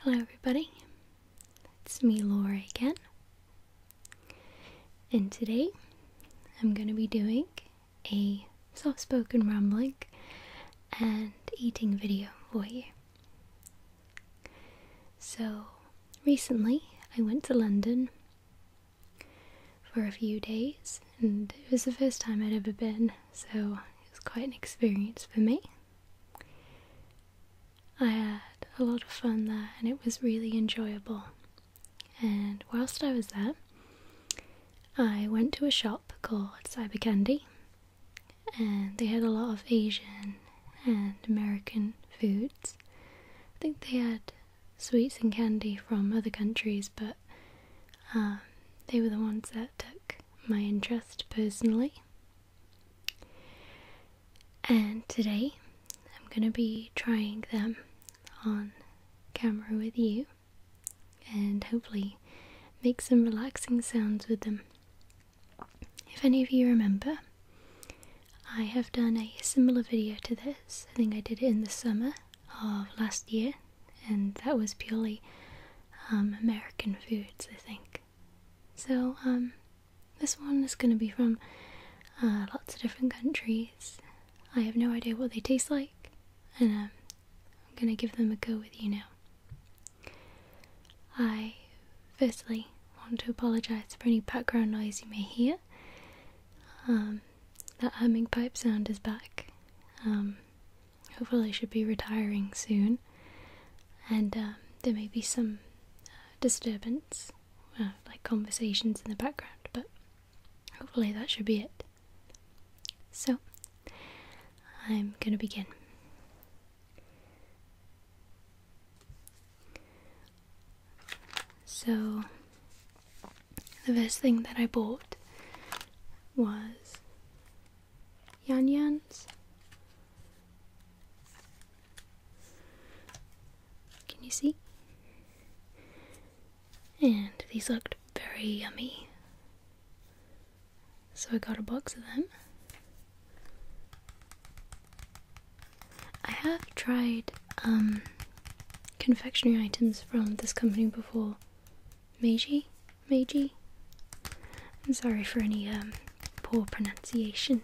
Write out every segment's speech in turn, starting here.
Hello, everybody. It's me, Laura, again. And today I'm going to be doing a soft spoken rambling and eating video for you. So, recently I went to London for a few days, and it was the first time I'd ever been, so it was quite an experience for me. I had a lot of fun there and it was really enjoyable. And whilst I was there, I went to a shop called Cyber Candy, and they had a lot of Asian and American foods. I think they had sweets and candy from other countries, but um, they were the ones that took my interest personally. And today I'm going to be trying them on camera with you and hopefully make some relaxing sounds with them. If any of you remember, I have done a similar video to this. I think I did it in the summer of last year, and that was purely um, American foods, I think. So, um, this one is going to be from uh, lots of different countries. I have no idea what they taste like, and um, I'm going to give them a go with you now. I firstly want to apologise for any background noise you may hear. Um, that humming pipe sound is back hopefully I should be retiring soon, and um, there may be some uh, disturbance, uh, like conversations in the background, but hopefully that should be it. So, I'm gonna begin. So, the first thing that I bought was Yan Yans. Can you see? And these looked very yummy. So I got a box of them. I have tried um, confectionery items from this company before, Meiji. Meiji. I'm sorry for any um, poor pronunciations.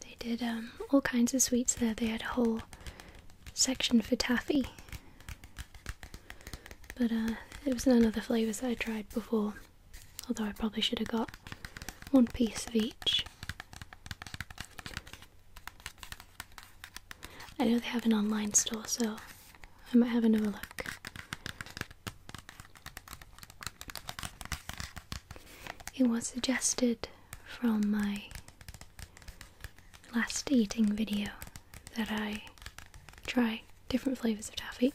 They did um, all kinds of sweets there. They had a whole section for taffy. But uh, it was none of the flavours that I tried before, although I probably should have got one piece of each. I know they have an online store, so I might have another look. It was suggested from my last eating video that I try different flavours of taffy.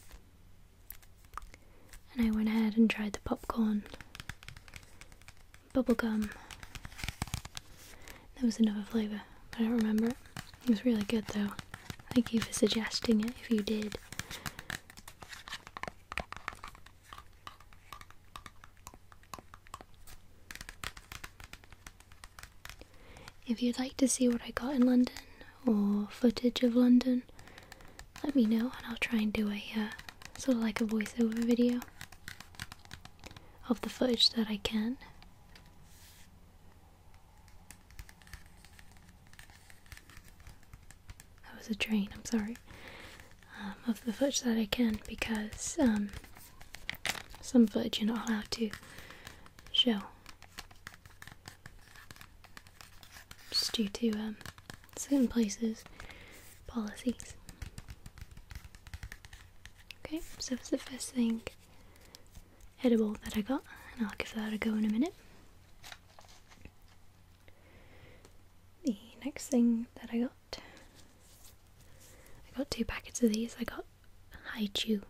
And I went ahead and tried the popcorn, bubblegum. That was another flavour, I don't remember it. It was really good though. Thank you for suggesting it if you did. If you'd like to see what I got in London or footage of London, let me know and I'll try and do a uh, sort of like a voiceover video of the footage that I can. That was a train, I'm sorry. Um, of the footage that I can because um, some footage you're not allowed to show. Just due to um, certain places' policies. Okay, so it's the first thing edible that I got, and I'll give that a go in a minute. The next thing that I got I got two packets of these. I got Haichu.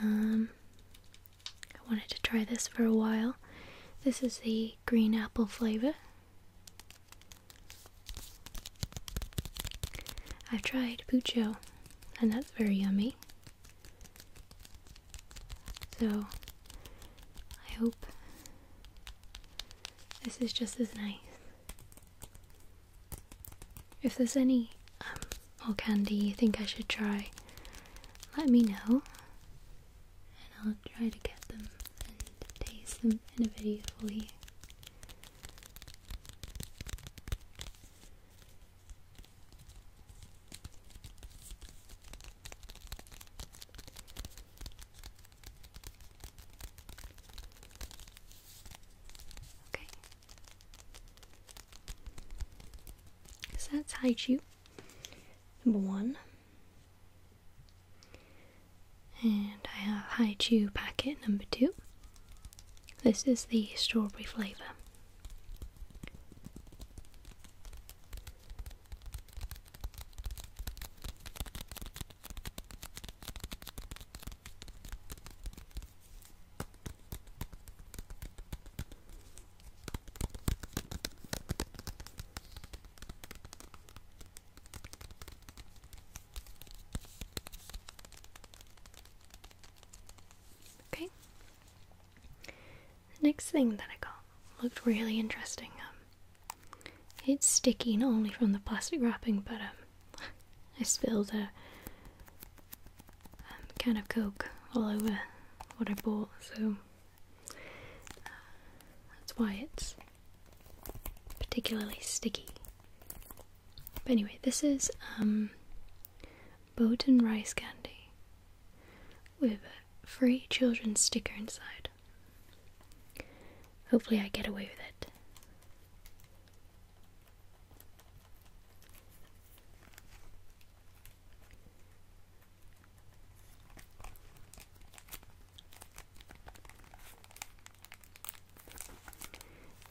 Um I wanted to try this for a while. This is the green apple flavor. I've tried Pucho and that's very yummy. So I hope this is just as nice. If there's any um, more candy you think I should try, let me know and I'll try to get them and taste them in a video for you. Okay. So that's Chew number one. And I have Chew packet number two. This is the strawberry flavour. Okay. next thing that I got looked really interesting. Um, it's sticky not only from the plastic wrapping, but um, I spilled a um, can of Coke all over what I bought, so uh, that's why it's particularly sticky. But anyway, this is um, Bowton rice candy with a free children's sticker inside. Hopefully I get away with it.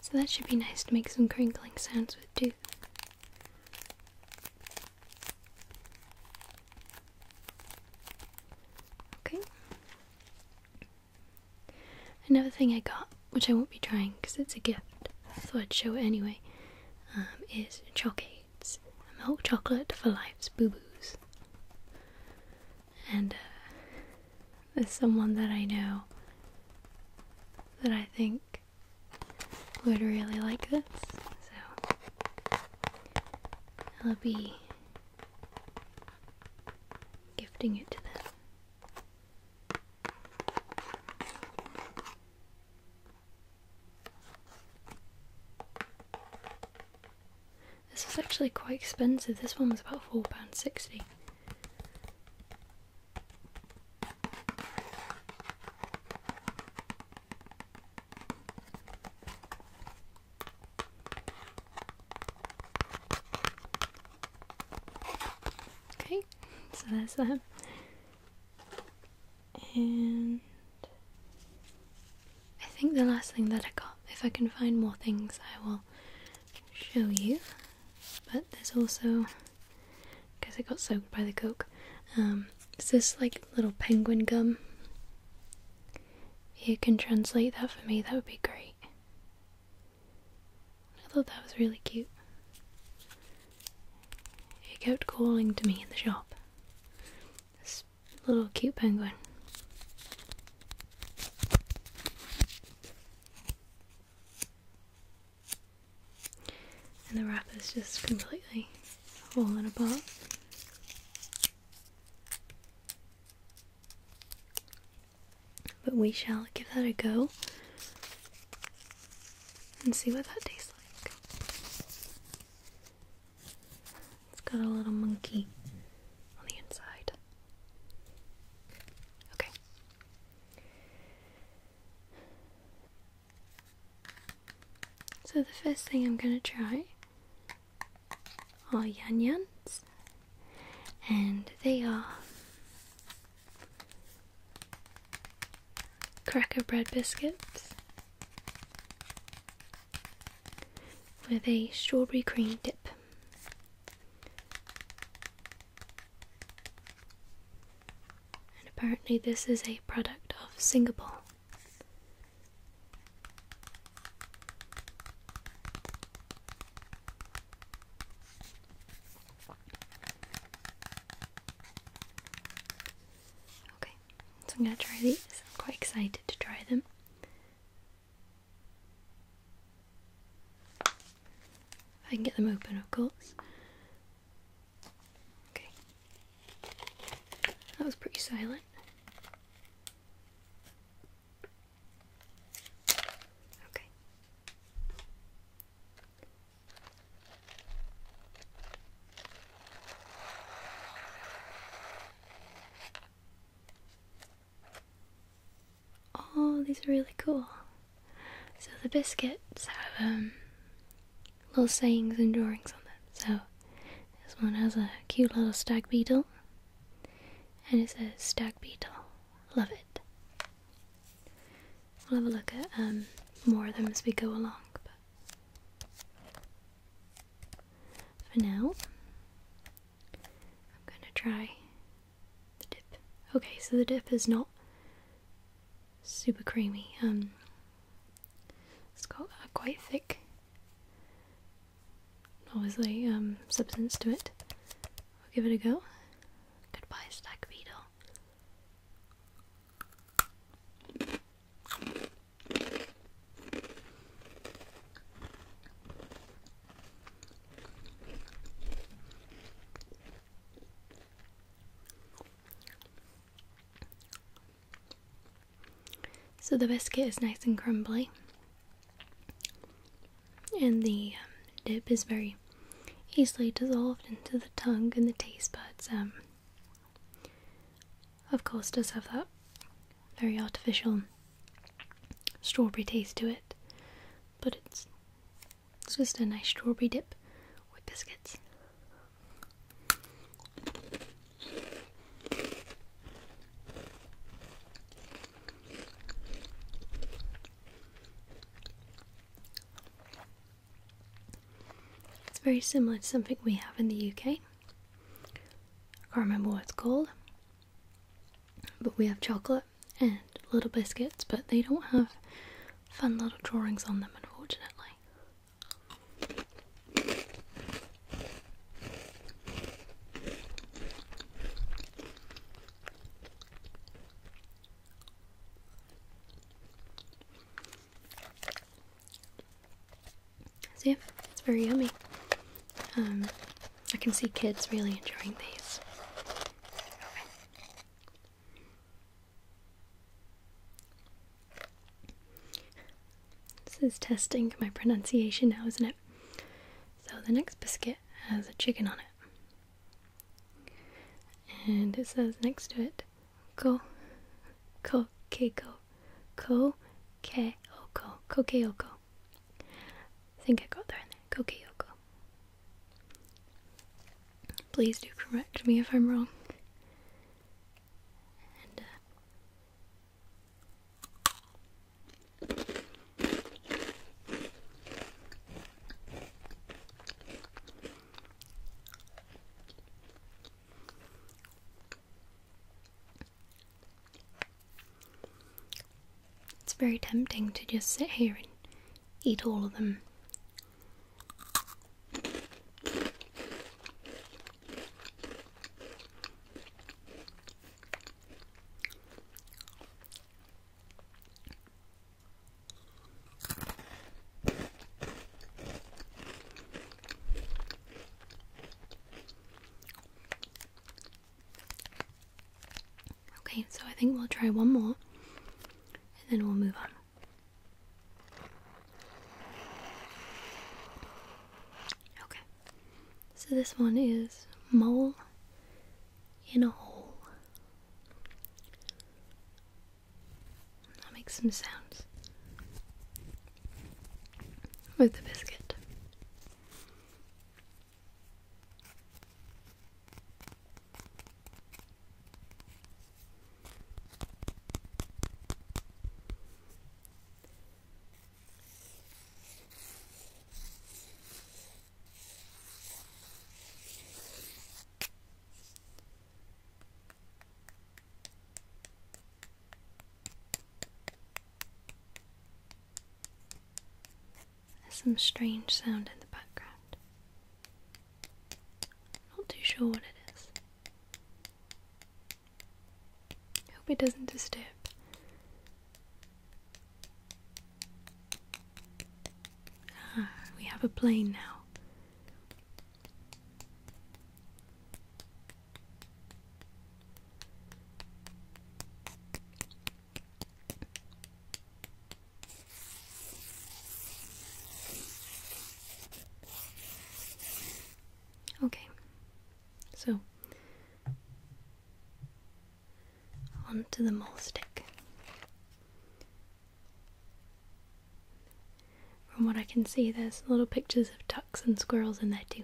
So that should be nice to make some crinkling sounds with too. Okay. Another thing I got, which I won't be trying because it's a gift, so I'd show it anyway, um, is Chocades. Milk chocolate for life's boo boos. And uh, there's someone that I know that I think would really like this, so it'll be gifting it to them. This was actually quite expensive. This one was about £4.60. Okay, so that's that. And I think the last thing that I got, if I can find more things, I will show you. But there's also, because I got soaked by the coke, um, Is this like little penguin gum. If you can translate that for me, that would be great. I thought that was really cute. It kept calling to me in the shop. This little cute penguin. And the is just completely fallen apart. But we shall give that a go and see what that tastes like. It's got a little monkey on the inside. Okay. So, the first thing I'm going to try are yan yans, and they are cracker bread biscuits with a strawberry cream dip. And apparently, this is a product of Singapore. Okay, so I'm gonna try these. I'm quite excited to try them. I can get them open, of course. Okay, that was pretty silent. Okay. Oh, these are really cool. So the biscuits have um, little sayings and drawings on them. So this one has a cute little stag beetle and it says stag beetle. Love it. We'll have a look at um, more of them as we go along. But for now, I'm gonna try the dip. Okay, so the dip is not super creamy. Um, it's got a quite thick obviously um, substance to it. We'll give it a go. Goodbye, Stack Beetle. So the biscuit is nice and crumbly, and the um, dip is very easily dissolved into the tongue and the taste buds. Um, of course, does have that very artificial strawberry taste to it, but it's just a nice strawberry dip with biscuits. It's very similar to something we have in the UK. I can't remember what it's called, but we have chocolate and little biscuits, but they don't have fun little drawings on them, unfortunately. So it's very yummy. Um, I can see kids really enjoying these. This is testing my pronunciation now, isn't it? So the next biscuit has a chicken on it. And it says next to it, ko, ko, keiko, ko, ke, oko, kokeoko. I think I got there in there, kokeoko. Please do correct me if I'm wrong. And uh, it's very tempting to just sit here and eat all of them. Okay, so I think we'll try one more and then we'll move on. Okay, so this one is Mole in a Hole. I'll make some sounds with the biscuit. There's some strange sound in the background. Not too sure what it is. I hope it doesn't disturb. Ah, we have a plane now. Okay, so onto the mole stick. From what I can see, there's little pictures of ducks and squirrels in there too.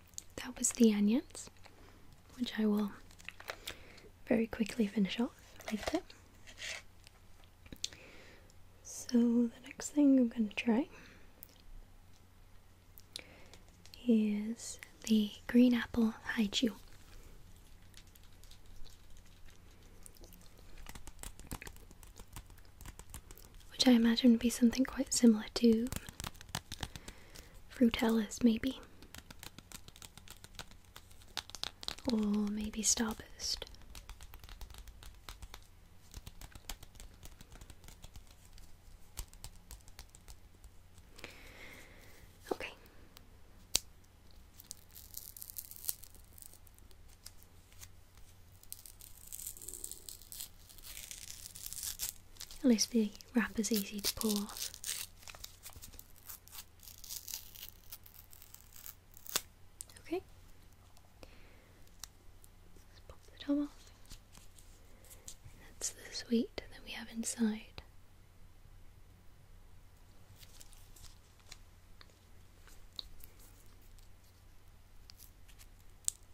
that was the onions, which I will very quickly finish off like that. So the next thing I'm going to try is the green apple haiju which I imagine would be something quite similar to Fruitellas, maybe. Or maybe Starburst. Okay. At least the wrapper's easy to pull off. Okay. Let's pop the top off. that's the sweet that we have inside.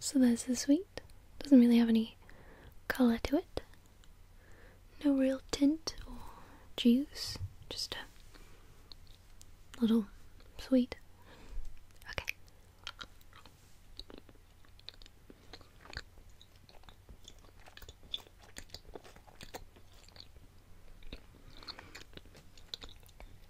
So there's the sweet. Doesn't really have any colour to it. No real tint or juice. Just a little sweet. Okay.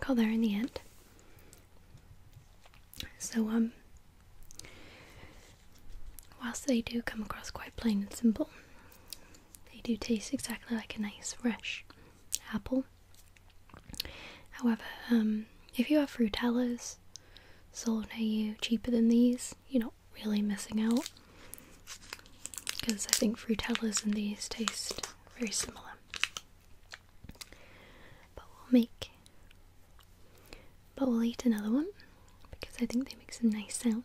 Call there in the end. So, um, whilst they do come across quite plain and simple, they do taste exactly like a nice fresh apple. However, um, if you have Frutellas sold near you cheaper than these, you're not really missing out because I think Frutellas and these taste very similar. But we'll make, but we'll eat another one because I think they make some nice sounds.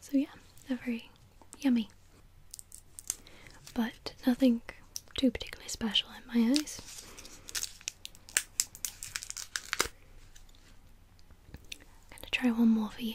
So, yeah, they're very yummy. But nothing too particularly special in my eyes. I'm gonna try one more for you.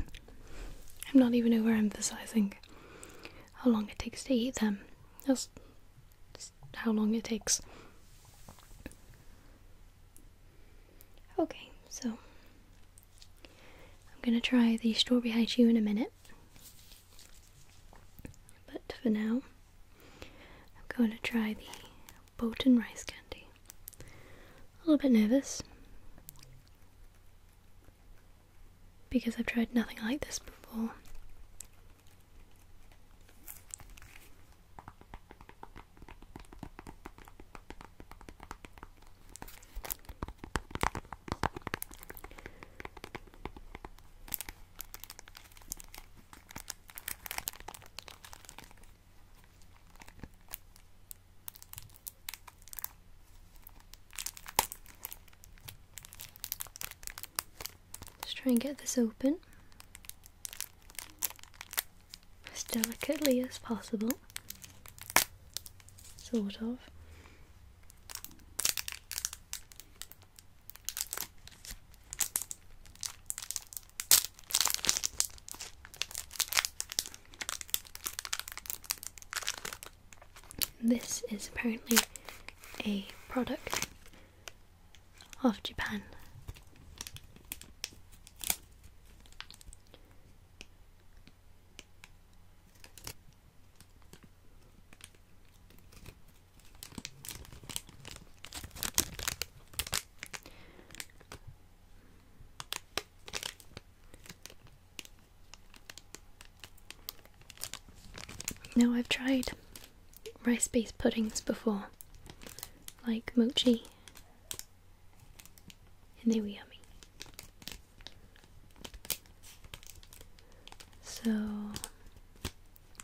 I'm not even overemphasizing how long it takes to eat them. Just how long it takes. Okay, so I'm gonna try the strawberry haichu in a minute. But for now, I'm going to try the Bolton rice candy. A little bit nervous because I've tried nothing like this before. Let's try and get this open as delicately as possible, sort of. This is apparently a product of Japan. Now, I've tried rice based puddings before, like mochi, and they were yummy. So,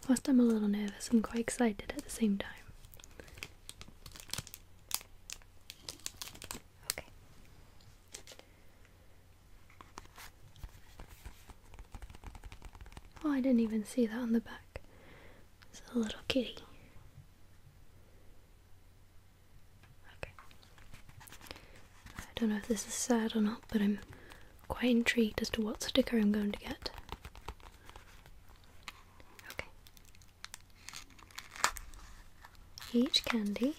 whilst I'm a little nervous, I'm quite excited at the same time. Okay. Oh, I didn't even see that on the back. It's a little kitty. Okay. I don't know if this is sad or not, but I'm quite intrigued as to what sticker I'm going to get. Okay. Each candy.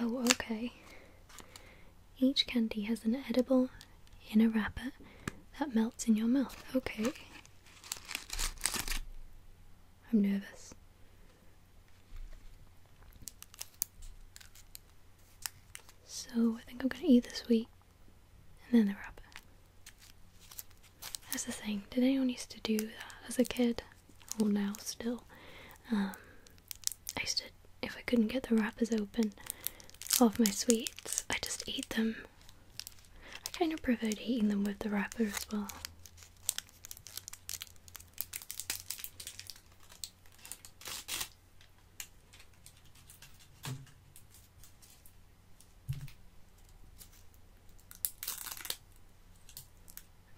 Oh, okay. Each candy has an edible inner wrapper that melts in your mouth. Okay. I'm nervous. So I think I'm going to eat the sweet and then the wrapper. That's the thing. Did anyone used to do that as a kid? Or now still. Um, I used to, if I couldn't get the wrappers open of my sweets, I just eat them. I kind of preferred eating them with the wrapper as well.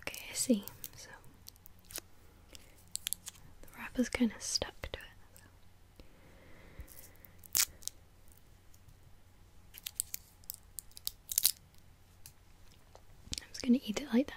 Okay, I see. So the wrapper's kind of stuck to it. I'm just going to eat it like that.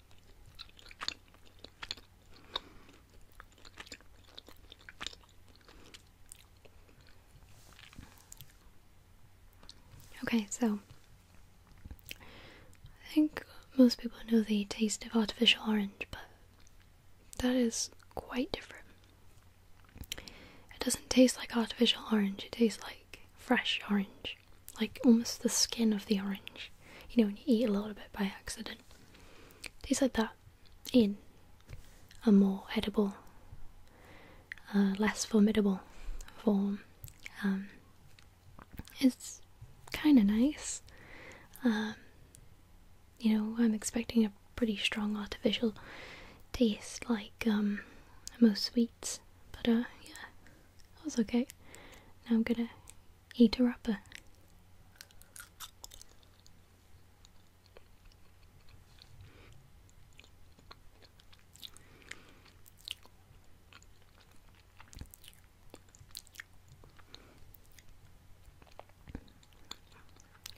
Okay, so I think most people know the taste of artificial orange, but that is quite different. It doesn't taste like artificial orange, it tastes like fresh orange like almost the skin of the orange. You know, when you eat a little bit by accident. Tastes like that in a more edible, uh, less formidable form. Um, it's kind of nice. Um, you know, I'm expecting a pretty strong artificial taste like um, most sweets, but uh, yeah, it was okay. Now I'm gonna eater upper.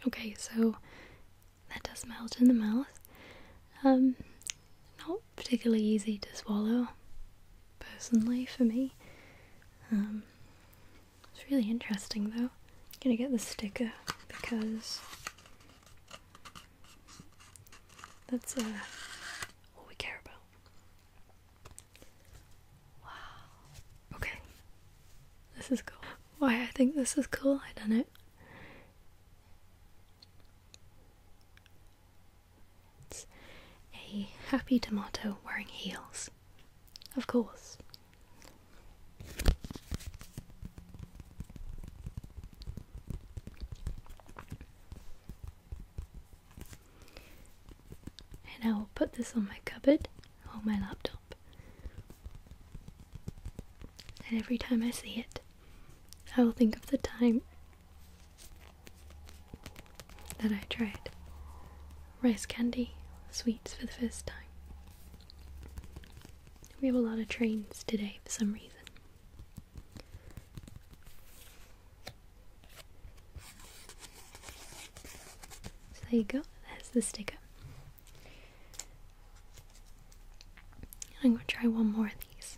Okay, so that does melt in the mouth. Um, not particularly easy to swallow, personally, for me. Um, it's really interesting though. I'm gonna get the sticker because that's uh, all we care about. Wow. Okay. This is cool. Why I think this is cool, I don't know. It's a happy tomato wearing heels. Of course. And I will put this on my cupboard on my laptop. And every time I see it, I will think of the time then I tried rice candy sweets for the first time. We have a lot of trains today for some reason. there you go, there's the sticker. I'm going to try one more of these.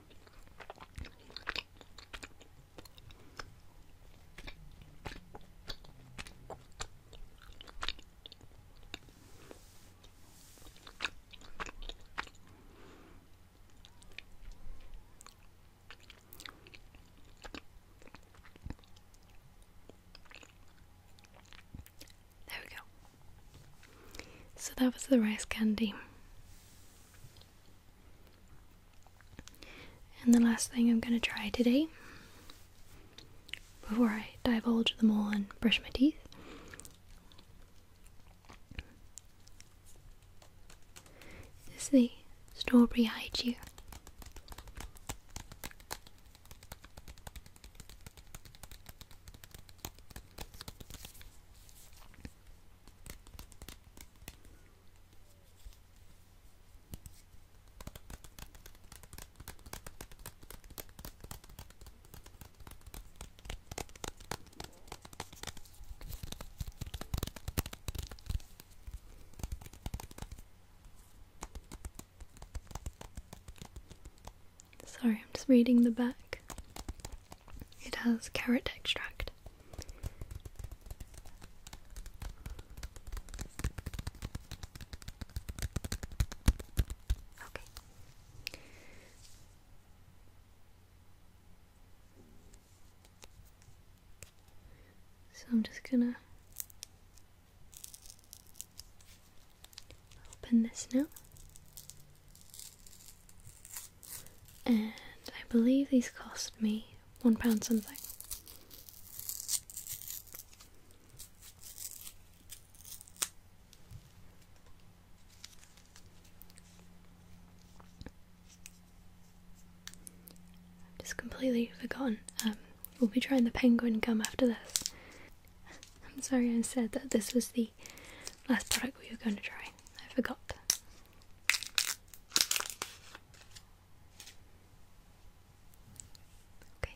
There we go. So that was the rice candy. And the last thing I'm going to try today, before I divulge the mole and brush my teeth, is the strawberry haiku. Sorry, I'm just reading the back. It has carrot extract. Okay. So I'm just gonna open this now. And I believe these cost me one pound something. just completely forgotten. Um, we'll be trying the penguin gum after this. I'm sorry I said that this was the last product we were going to try. I forgot. Okay.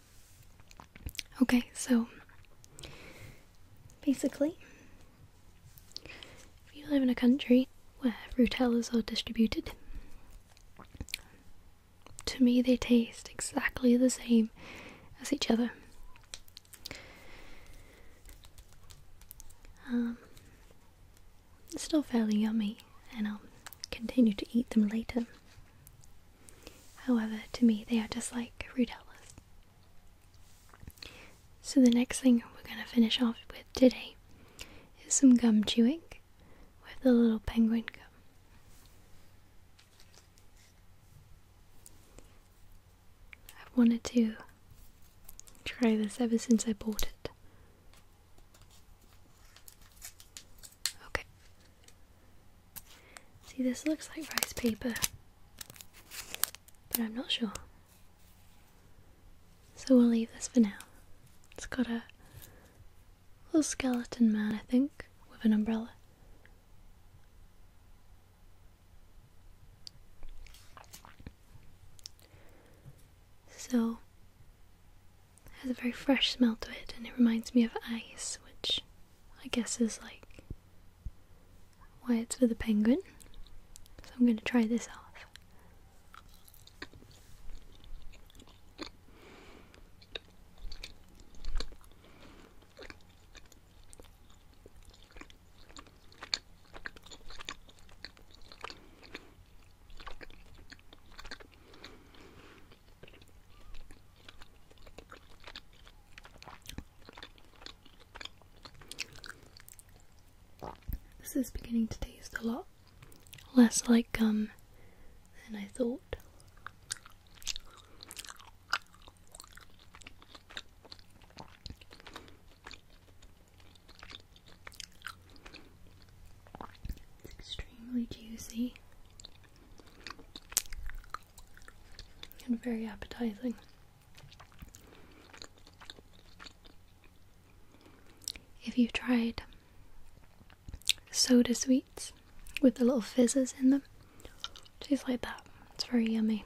Okay, so basically, if you live in a country where Frutellas are distributed, to me they taste exactly the same as each other. Um, it's still fairly yummy, and I'll continue to eat them later. However, to me, they are just like rootoutlets. So, the next thing we're going to finish off with today is some gum chewing with the little penguin gum. I've wanted to try this ever since I bought it. Okay. See, this looks like rice paper, but I'm not sure. So we'll leave this for now. It's got a little skeleton man, I think, with an umbrella. So, has a very fresh smell to it, and it reminds me of ice, which I guess is like why it's for the penguin. So I'm going to try this off. This is beginning to taste a lot less like gum than I thought. It's extremely juicy and very appetizing. If you have tried soda sweets with the little fizzes in them, tastes like that. It's very yummy.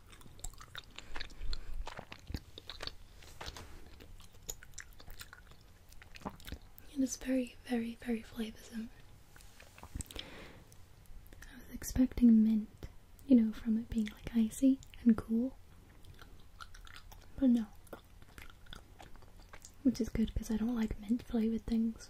It is very, very, very flavorsome. I was expecting mint, you know, from it being like icy and cool, but no. Which is good because I don't like mint flavored things.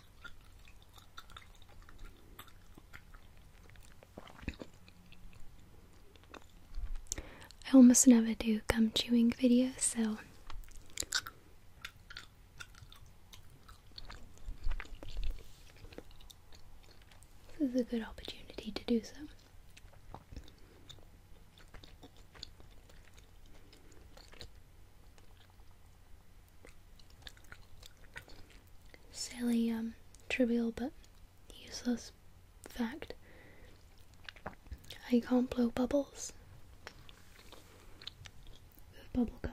I almost never do gum chewing videos, so this is a good opportunity to do so. Silly, um, trivial but useless fact. I can't blow bubbles with bubble gum.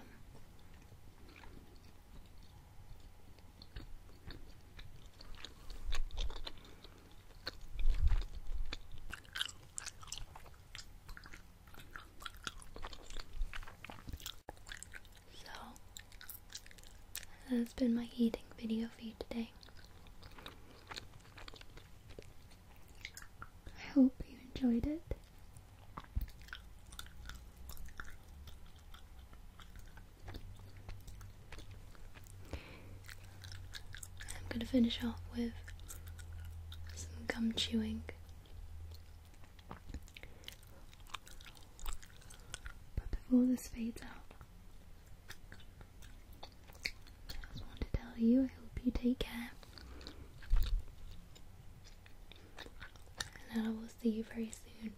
So, that's been my eating video for you today. I hope you enjoyed it. I'm gonna finish off with some gum chewing. But before this fades out, I just want to tell you I hope you take care. And I will see you very soon.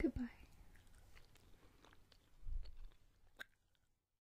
Goodbye.